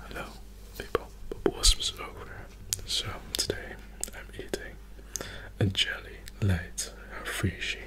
Hello, people. Wasps over. So today I'm eating a jelly light refreshy.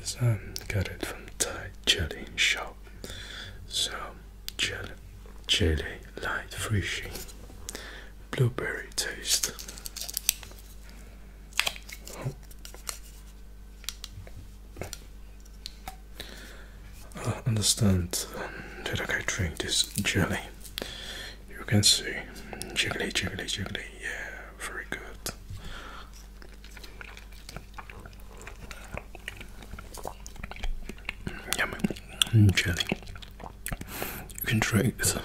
Is um got it from Thai jelly shop. So jelly, jelly light refreshy, blueberry taste. I understand that I can drink this jelly. You can see jelly, jelly, jelly. Yeah, very good. Yummy jelly. You can drink this.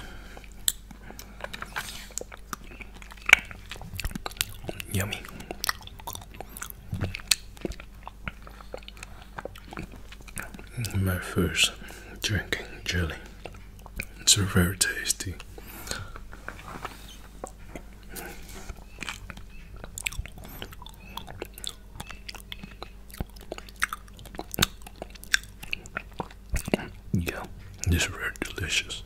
Yummy my first drinking jelly. It's very tasty. Yeah, this very delicious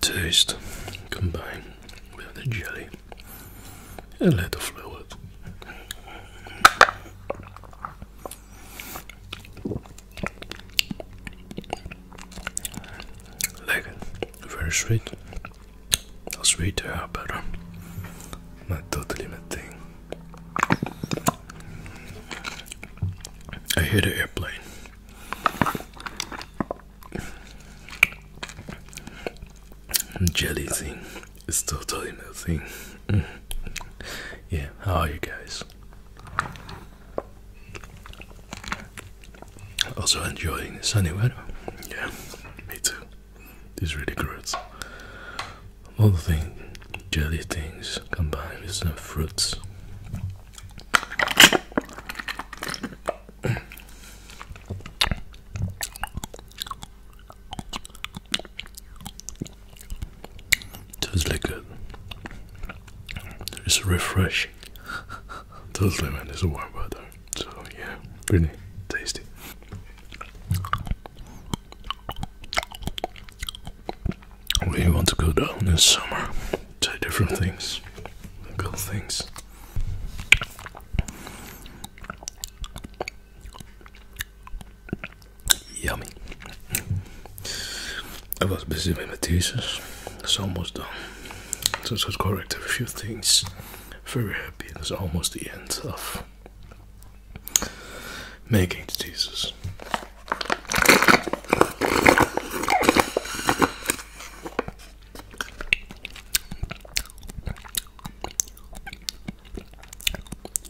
taste combined with the jelly and a little fluid. Like very sweet. Sweeter, but uh, not totally my thing. I hear the airplane. Jelly thing it's totally nothing. yeah, how are you guys? Also enjoying the sunny weather. Yeah, me too. This really good. All the things, jelly things combined with some fruits. Tastes like a, it's refreshing. Totally, man. It's a warm weather, so yeah, really tasty. We want to go down this summer, try different things, cool things. Yummy. I was busy with my thesis, it's almost done. So I corrected a few things. Very happy, it's almost the end of making the thesis.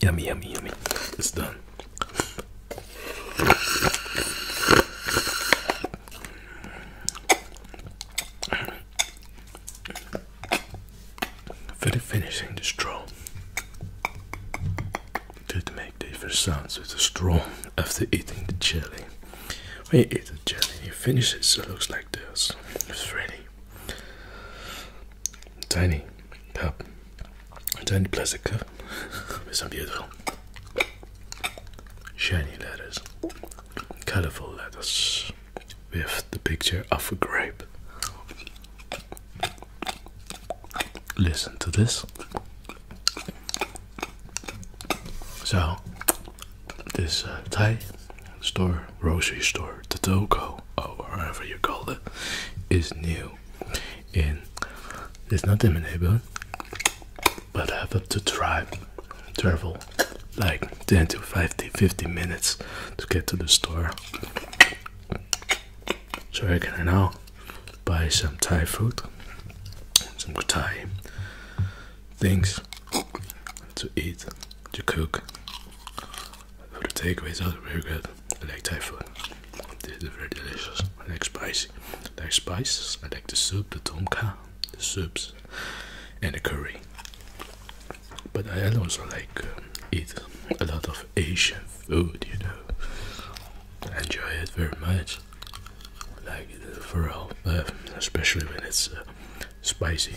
Yummy, yummy, yummy. It's done. For the finishing the straw that make different sounds with the straw after eating the jelly. When you eat the jelly you finish it, so it looks like this. It's tiny cup, tiny plastic cup with some beautiful shiny letters, colorful letters with the picture of a grape. Listen to this. So, this uh, Thai store, grocery store, the Toko, or whatever you call it, is new. In it's not in my but I have to drive, travel like 10 to 50, minutes to get to the store. So I can I know? buy some Thai food, some good Thai things to eat, to cook. For the takeaways are oh, very good. I like Thai food. This is very delicious. I like spicy. I like spices. I like the soup, the tom kha, the soups, and the curry. But I also like uh, eat a lot of Asian food, you know. enjoy it very much, like uh, for all, uh, especially when it's uh, spicy.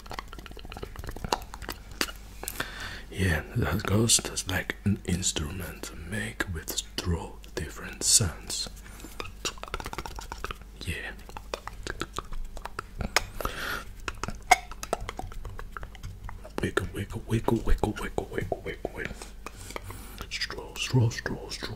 Yeah, that ghost is like an instrument make with straw different sounds. Yeah. Wiggle, wiggle, wiggle, wiggle, wiggle, wiggle, wiggle, wiggle. Straw, straw, straw, straw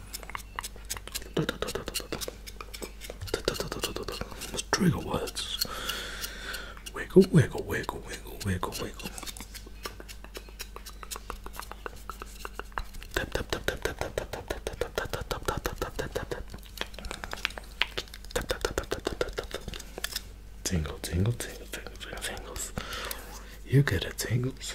those trigger words. Wiggle, wiggle, wiggle, wiggle, wiggle, wiggle. Tap, tap, tap, tap, tap, tap, tap, tap, tap, tap, tap, tap, tap, tap, tap, tap, tap, tap. Tap, tap, tap, tap, tap, tap, tap, tap. Tingle, tingle, tingle, tingle, tingles. You get it, tingles.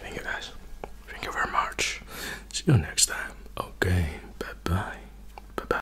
Thank you guys. Thank you very much. See you next time. Okay. Bye bye. Bye bye.